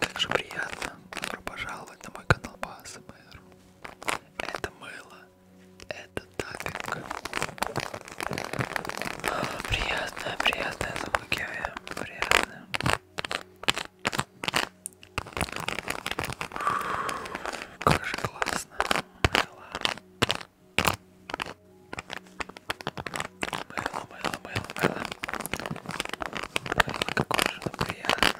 Как же приятно, добро пожаловать на мой канал по АСМР. Это мыло, это тапинг. Приятная, приятная звуки, приятная. Как же классно, мыло. Мыло, мыло, мыло, мыло. Мыло какое же оно приятное.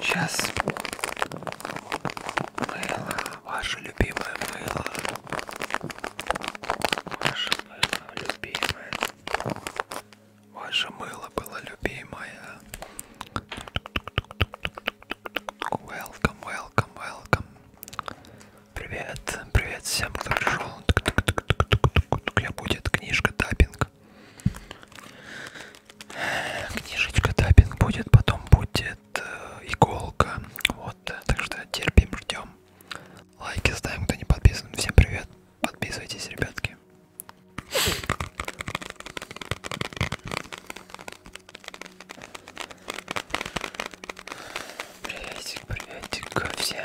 Сейчас мыло, ваше любимое мыло, ваше любимое. Ваше мыло было любимое. Welcome, welcome, welcome. Привет, привет всем, кто пришел. Я будет книжка таппинг. Книжечка таппинг будет, потом будет э, иголка. Вот, так что терпим, ждем. Лайки ставим, кто не подписан. Всем привет. Подписывайтесь, ребятки. Приветик, приветик ко всем.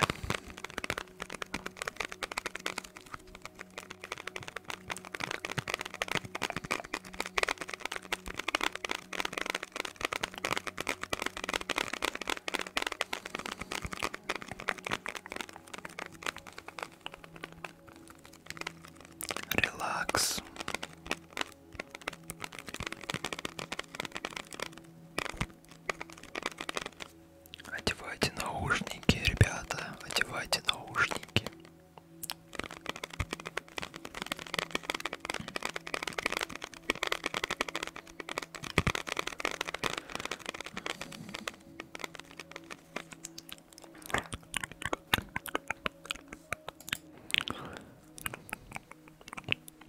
Релакс. Одевайте наушники, ребята, одевайте наушники.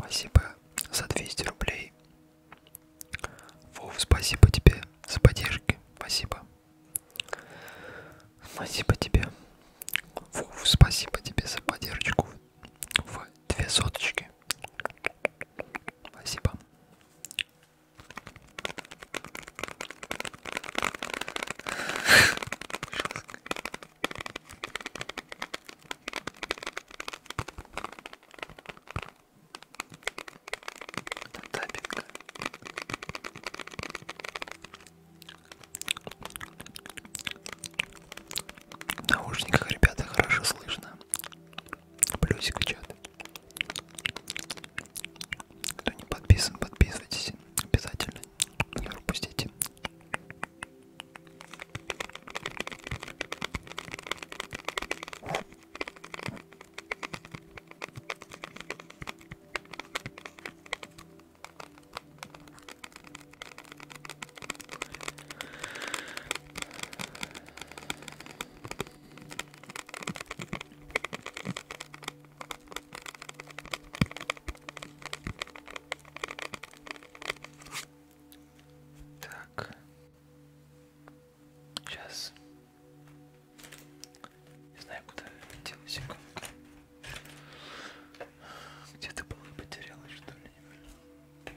Спасибо за 200 рублей. Вов, спасибо тебе за поддержки. Спасибо. Спасибо тебе. Вов, спасибо тебе за поддержку в две соточки. Спасибо. Тапинг. В наушниках, ребята, хорошо слышно. Плюсик в чат. Кто не подписан, подписывайтесь. Обязательно. Не пропустите. Так. Сейчас. Не знаю, куда делась иконка. Где-то было потерялась, что ли,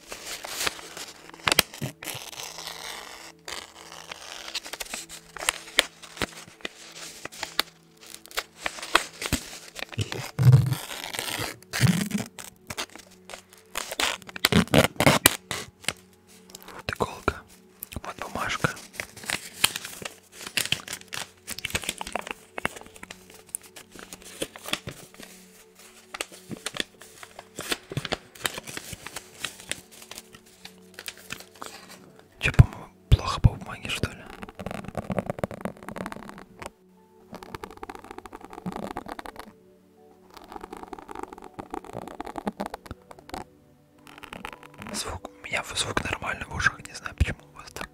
Вот иголка, вот бумажка. Че, по-моему, плохо по бумаге, что ли? Звук, у меня звук нормальный в ушах, не знаю, почему у вас так.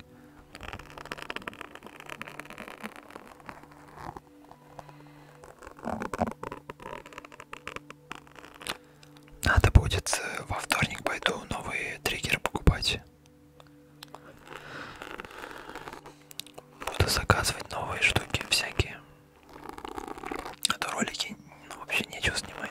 Надо будет э, во вторник пойду новые триггеры покупать. Буду заказывать новые штуки всякие. А то ролики ну, вообще нечего снимать.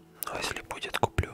Но ну, если будет, куплю.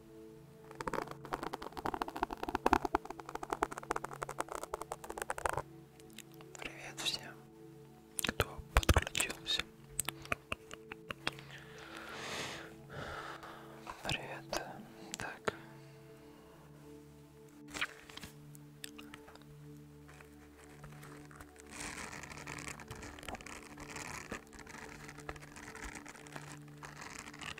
Привет всем, кто подключился. Привет. Так.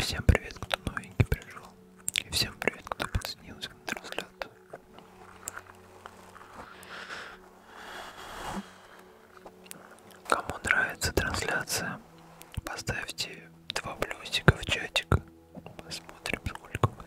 Всем привет, кто новенький пришел. И всем привет, кто подсоединился к трансляции. Кому нравится трансляция, поставьте два плюсика в чатик. Посмотрим, сколько у вас.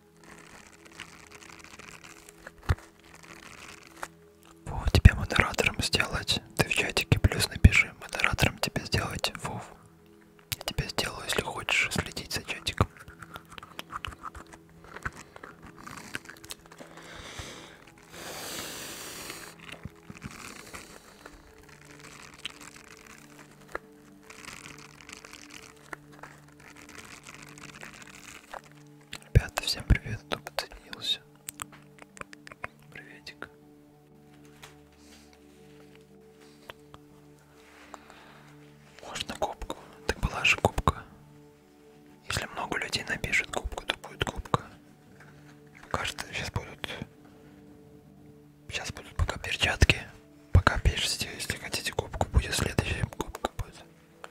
Вов, тебя модератором сделать. Ты в чатике плюс напиши. Модератором тебе сделать, Вов. Я тебя сделаю, если хочешь следить за чатиком. Ребята, всем привет, кто подсоединился. Приветик. Можно кубку. Так была же кубка. Если много людей напишет кубку, то будет кубка. Кажется, сейчас будут... Сейчас будут пока перчатки. Пока пишите, если хотите кубку, будет следующая кубка будет.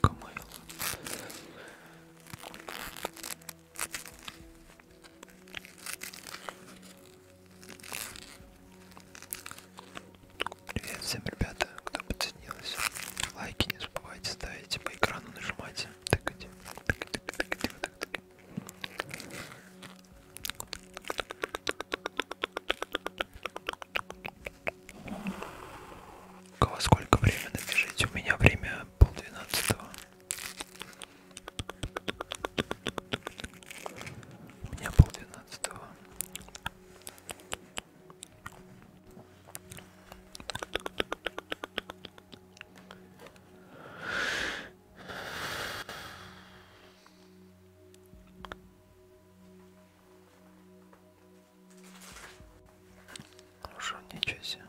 Камайл. Привет всем, ребята, кто подсоединился. Лайки не забывайте ставить, по экрану нажимайте. Тыкайте. Тыкайте, тыкайте, тыкайте. Во сколько время напишите? У меня время полдвенадцатого. У меня полдвенадцатого. Хорошо, ничего себе.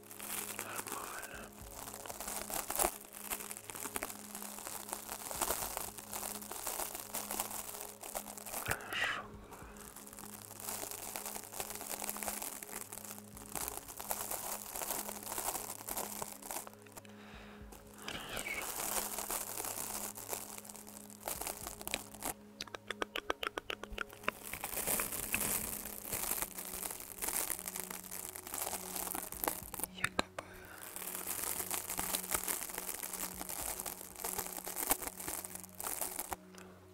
Нормально. Хорошо. Хорошо якобы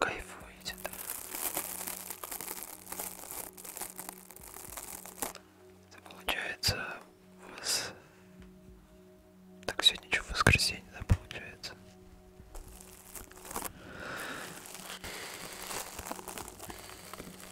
кайфуете, да? Это получается у вас так сегодня что в воскресенье, да, получается?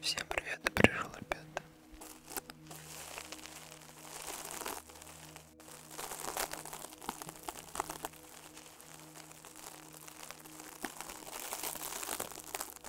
Всем привет, пришел опять.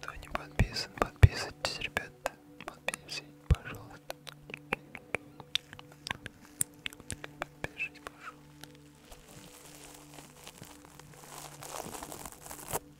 Кто не подписан, подписывайтесь, ребята. Подписывайтесь, пожалуйста. Подпишись, пожалуйста.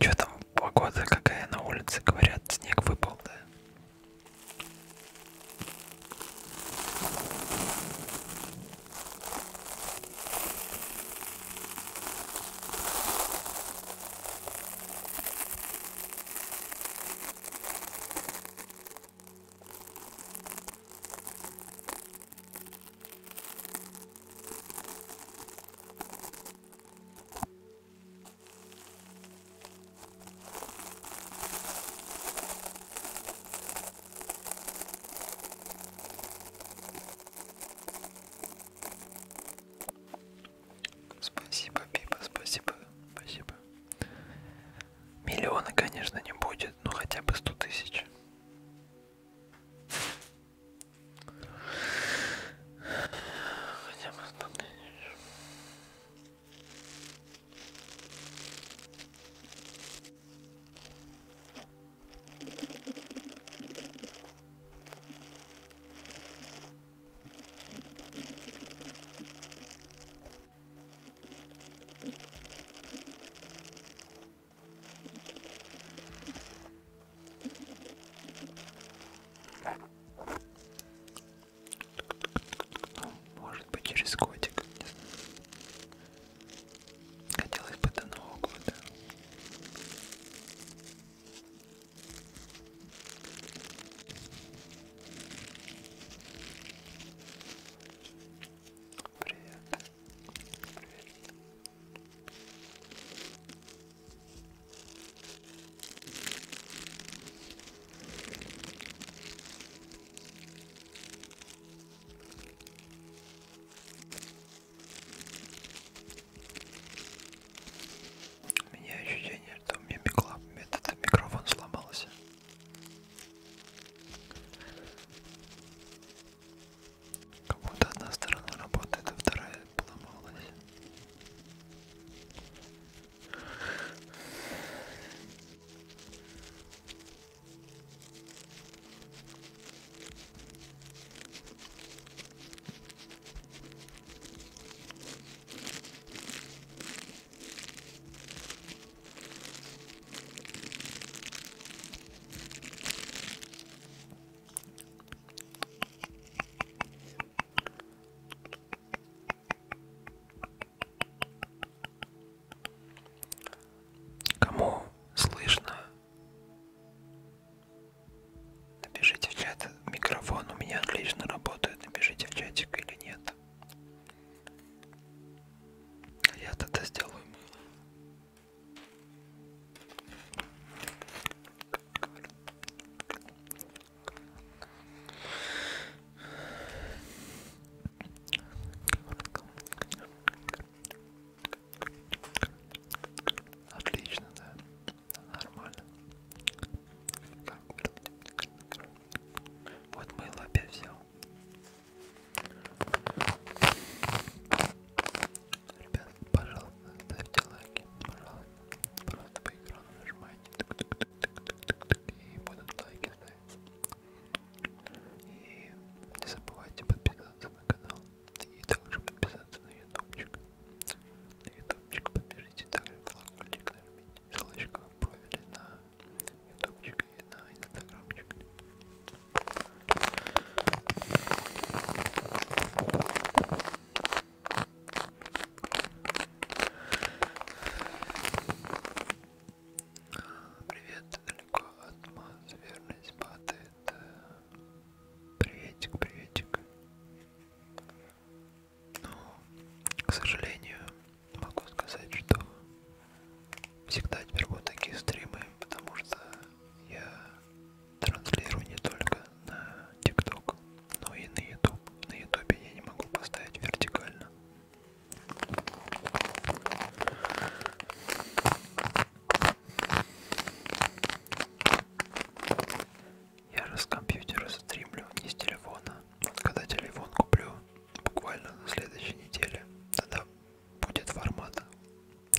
Че там погода какая на улице? Говорят, снег выпал, да? Спасибо, Пипа, спасибо, спасибо. Миллиона, конечно, не будет, но хотя бы сто тысяч. Хотя бы сто тысяч. Может быть через котик. Хотелось бы до Нового года. Привет. Привет. У меня ощущение, что у меня микро... этот микрофон сломался. Как будто одна сторона работает, а вторая поломалась. Кому слышно? Напишите в чат, микрофон у меня отлично работает, напишите в чатик или нет. А я тогда сделаю мыло. Отлично, да. Нормально. Так. Вот мыло опять взял. Ребят, пожалуйста, ставьте лайки. Пожалуйста. Просто по экрану нажимайте. Тук -тук -тук -тук -тук -тук, и будут лайки ставить. И не забывайте подписаться на канал. И также подписаться на ютубчик. На ютубчик подпишите также колокольчик нажмите ссылочку в профиле на ютубчик и на инстаграмчик. Привет, далеко от Маз, верность падает. Приветик, приветик. Но, к сожалению, могу сказать, что всегда теперь будут такие стримы, потому что я транслирую не только на ТикТок, но и на YouTube. На Ютубе я не могу поставить вертикально. Я же с компьютера стримлю, не с телефона когда телефон куплю, буквально на следующей неделе, тогда будет формат,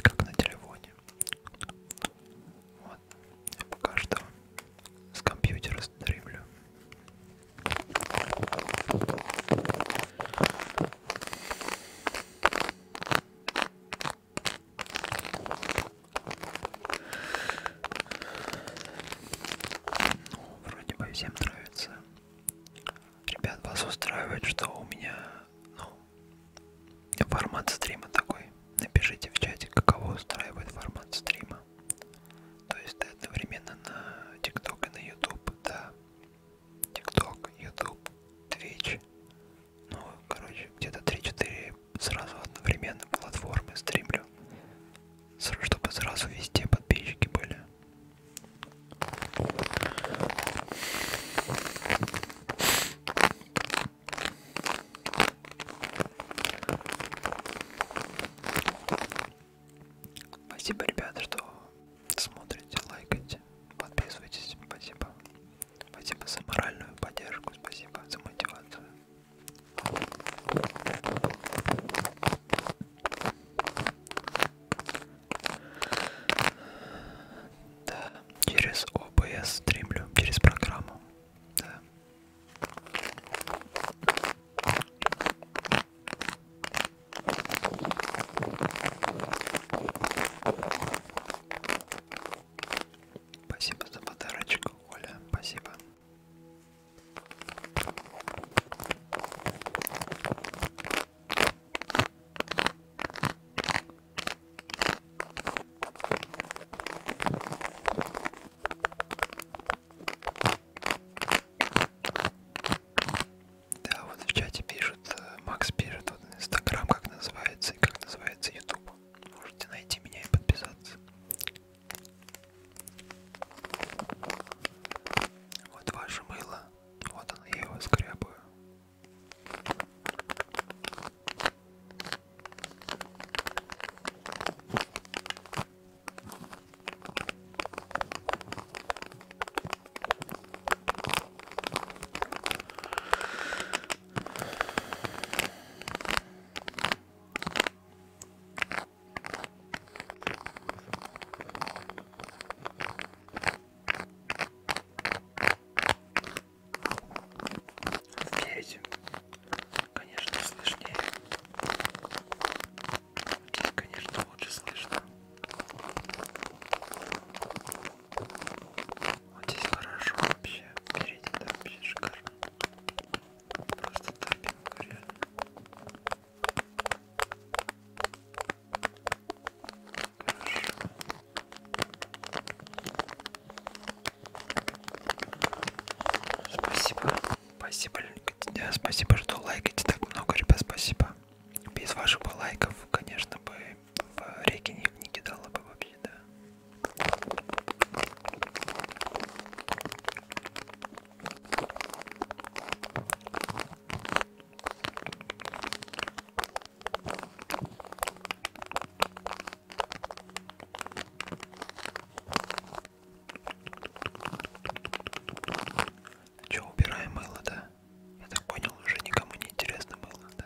как на телефоне. Вот. Я пока что с компьютера стримлю. Ну, вроде бы всем нравится. Ребят, вас устраивает, что у меня, ну, формат стрима такой. Напишите в чате, каково устраивает формат стрима. То есть ты одновременно на ТикТок и на Ютуб, да. ТикТок, Ютуб, Твич. Ну, короче, где-то 3-4 сразу одновременно платформы стримлю чтобы сразу везде подписчики были. Спасибо, ребята, что смотрите, лайкайте, подписывайтесь. Спасибо. Спасибо за моральную поддержку, спасибо за мотивацию. Да, через ОБС стримлю, через программу. Да. Спасибо за подарочек, Оля. Спасибо. Да, вот в чате пишут, э, Макс пишет, вот Инстаграм как называется и как называется Ютуб. Можете найти меня и подписаться. Вот ваше мыло. Вот оно, я его скрябаю. Верите? Конечно, слышнее. Здесь, конечно, лучше слышно. Вот здесь хорошо вообще. Впереди там вообще шикарно. Просто топинка реально. Хорошо. Спасибо. Спасибо, спасибо, что лайкаете так много, ребят, спасибо. Без ваших бы лайков, конечно бы, в реки не, не кидала бы вообще, да. Че, убираем мыло, да? Я так понял, уже никому не интересно мыло, да?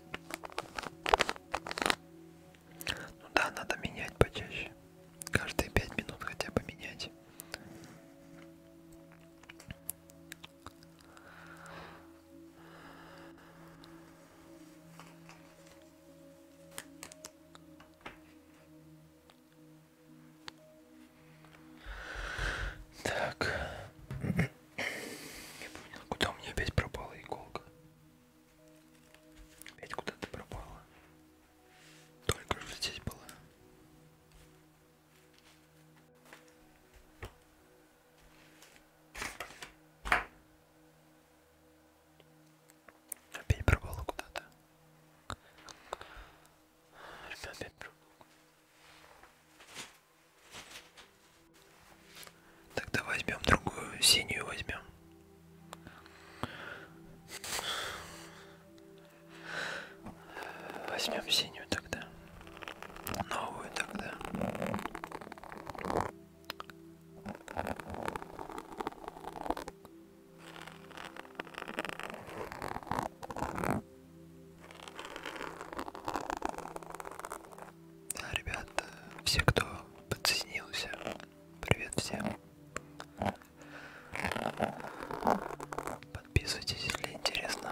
Ну да, надо менять почаще. Каждые пять минут хотя бы менять. Так. Не понял, куда у меня опять пропала иголка? Опять куда-то пропала. Только же здесь была. Опять пропала куда-то. Опять пропала. Тогда возьмем другую, синюю возьмем. Возьмем синюю тогда. Новую тогда. Да, ребят, э, все, кто подсоединился, привет всем. Подписывайтесь, если интересно.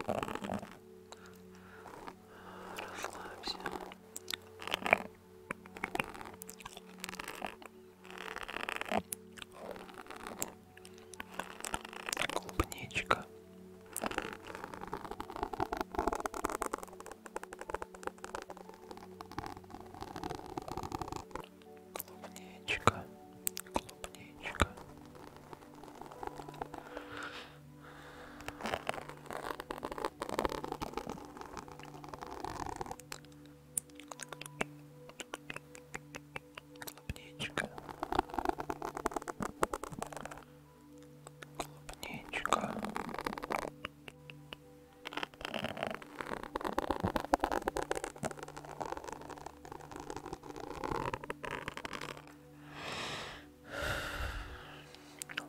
Релакс. Расслабься. Клубничка. Клубничка, клубничка, Клубничка. Клубничка.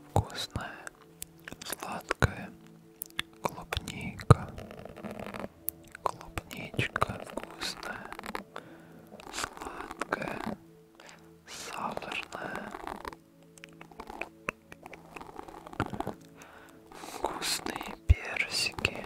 Вкусная, сладкая клубника, клубничка вкусная, сладкая, сахарная, вкусные персики.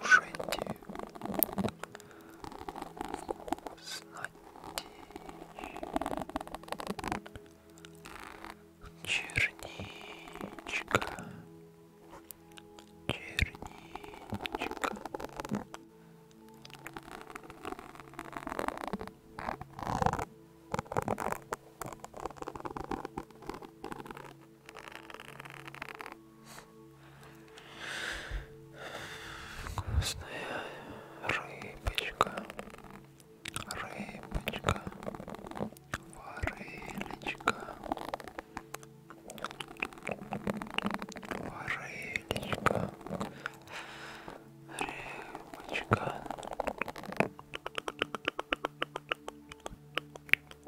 Кушайте. Черничка. Черничка. Вкусная рыбочка, рыбочка, варелечка, варелечка, рыбочка.